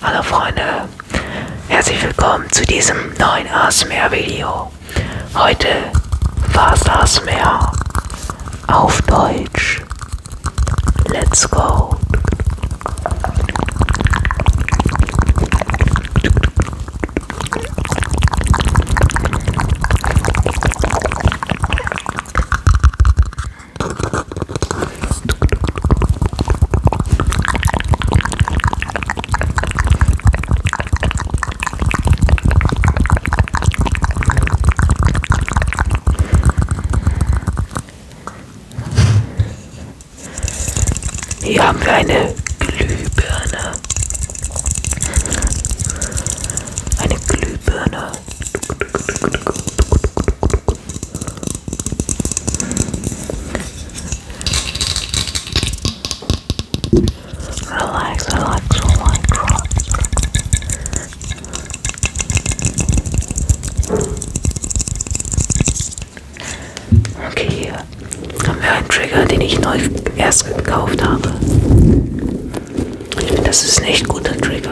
Hallo Freunde, herzlich willkommen zu diesem neuen ASMR Video. Heute war es ASMR auf Deutsch. Let's go. Hier haben wir eine Glühbirne. Eine Glühbirne. Relax, relax, relax, relax. Okay, hier haben wir einen Trigger, den ich neu erst gekauft habe. Ich finde, das ist ein echt guter Trigger.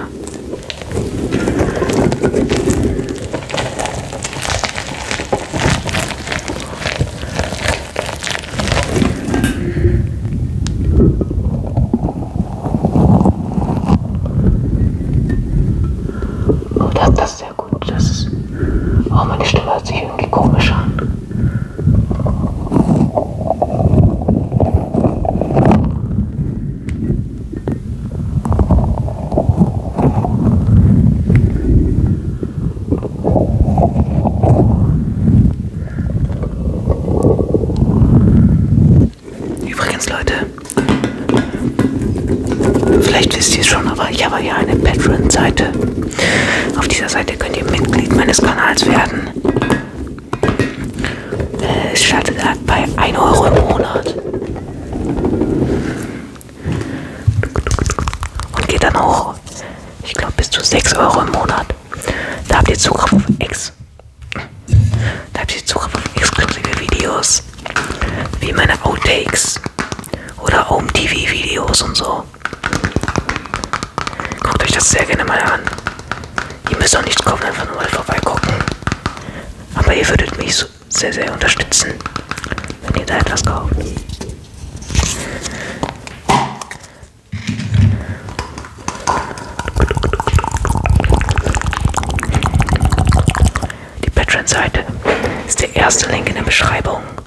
Oh, das passt sehr gut. Das ist oh, meine Stimme hört sich irgendwie komisch an. Übrigens, Leute, vielleicht wisst ihr es schon, aber ich habe hier eine Patreon-Seite. Auf dieser Seite könnt ihr Mitglied meines Kanals werden. Äh, es startet bei 1 Euro im Monat. Und geht dann hoch, ich glaube, bis zu 6 Euro im Monat. Da habt ihr Zugriff auf X. Da habt ihr Zugriff auf exklusive Videos, wie meine Outtakes oder Home TV Videos und so. Guckt euch das sehr gerne mal an. Ihr müsst auch nichts kaufen, einfach nur mal vorbeigucken. Aber ihr würdet mich so sehr, sehr unterstützen, wenn ihr da etwas kauft. Die Patreon-Seite ist der erste Link in der Beschreibung.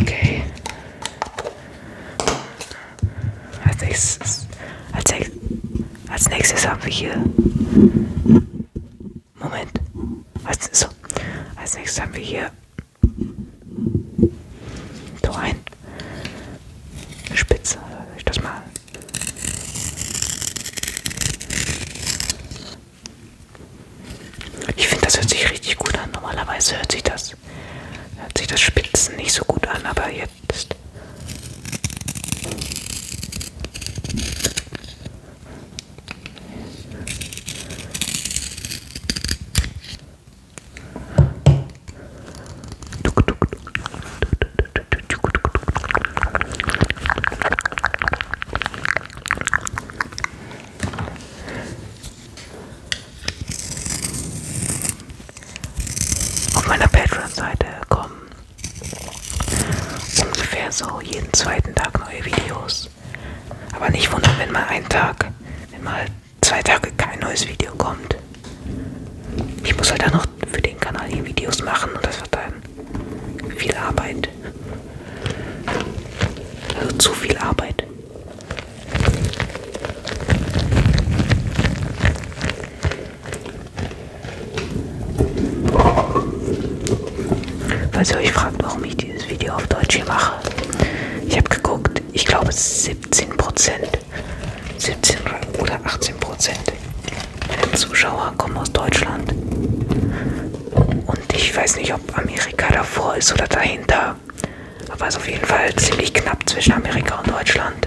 Okay. Als nächstes, als, nächstes, als nächstes haben wir hier. Moment. Als, so. als nächstes haben wir hier. So ein. Spitze. Ich das mal ich finde, das hört sich richtig gut an. Normalerweise hört sich das, hört sich das Spitzen nicht so gut an, aber jetzt. Tuk, tuk, tuk, tuk, tuk, tuk, auf meiner Patreon-Seite kommen ungefähr so jeden zweiten Tag neue Videos. Aber nicht wundern, wenn mal ein Tag, wenn mal zwei Tage kein neues Video kommt. Ich muss halt dann noch für den Kanal die Videos machen und das verteilen kann. Viel Arbeit. Also zu viel Arbeit. Falls ihr euch fragt, warum ich dieses Video auf Deutsch hier mache. Ich habe geguckt, ich glaube 17%. 17 oder 18% Zuschauer kommen aus Deutschland. Und ich weiß nicht, ob Amerika davor ist oder dahinter. Aber es ist auf jeden Fall ziemlich knapp zwischen Amerika und Deutschland.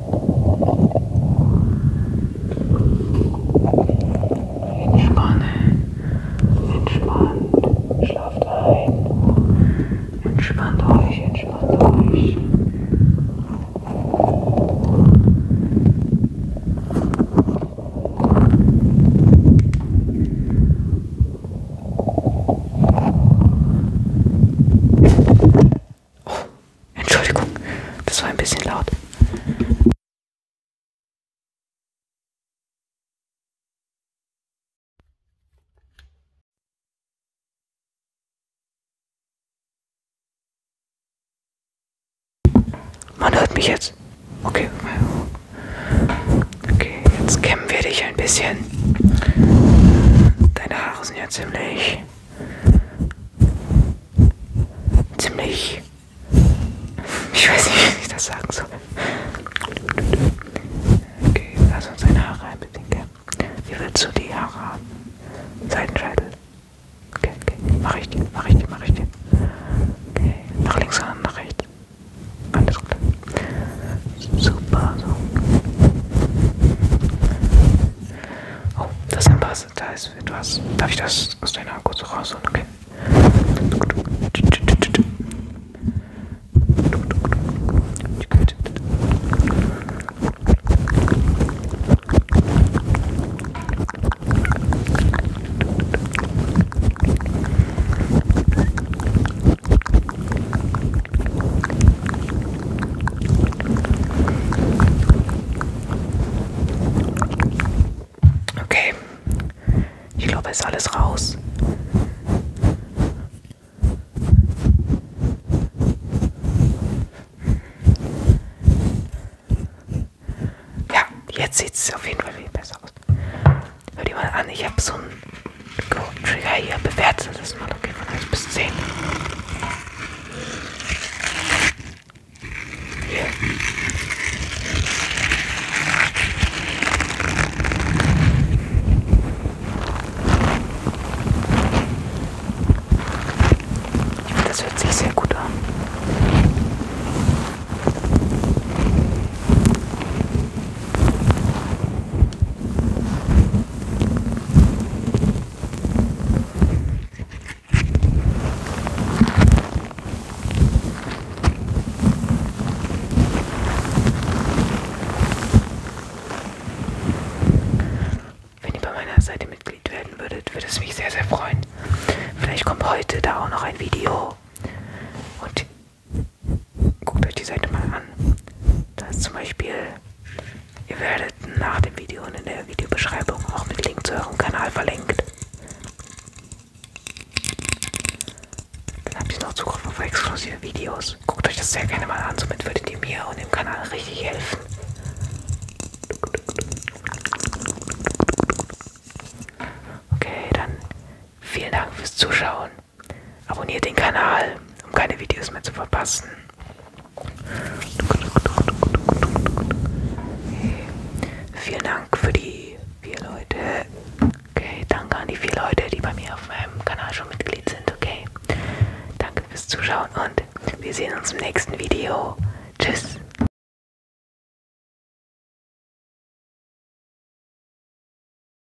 Entspanne, entspannt, schlaft ein, entspannt euch, entspannt euch. Oh, Entschuldigung, das war ein bisschen laut. Man hört mich jetzt. Okay, okay, jetzt kämmen wir dich ein bisschen. Deine Haare sind ja ziemlich ziemlich, ich weiß nicht, wie ich das sagen soll. Okay, lass uns deine Haare ein bisschen kämmen. Wie willst du die Haare haben? Seitenscheitel. Okay, okay, mach ich dir, mach ich dir, mach ich dir. Okay, nach links und nach rechts. Alles klar. Super, so. Oh, das ist ein Pass. Da ist etwas. Darf ich das aus deiner kurz rausholen? Okay. Okay, ich glaube, ist alles raus. Ja, jetzt sieht es auf jeden Fall viel besser aus. Hör dir mal an, ich habe so ein Trigger hier bewertet das mal, okay, von 1 bis 10. Hier. Das hört sich sehr gut an. Wenn ihr bei meiner Seite Mitglied werden würdet, würde es mich sehr, sehr freuen. Vielleicht kommt heute da auch noch ein Video. Und guckt euch die Seite mal an. Da ist zum Beispiel, ihr werdet nach dem Video und in der Videobeschreibung auch mit Link zu eurem Kanal verlinkt. Dann habt ihr noch Zugriff auf exklusive Videos. Guckt euch das sehr gerne mal an, somit würdet ihr mir und dem Kanal richtig helfen. Okay, dann vielen Dank fürs Zuschauen. Abonniert den Kanal, um keine Videos mehr zu verpassen. Okay. Vielen Dank für die vier Leute. Okay, danke an die vier Leute, die bei mir auf meinem Kanal schon Mitglied sind. Okay, danke fürs Zuschauen und wir sehen uns im nächsten Video. Tschüss.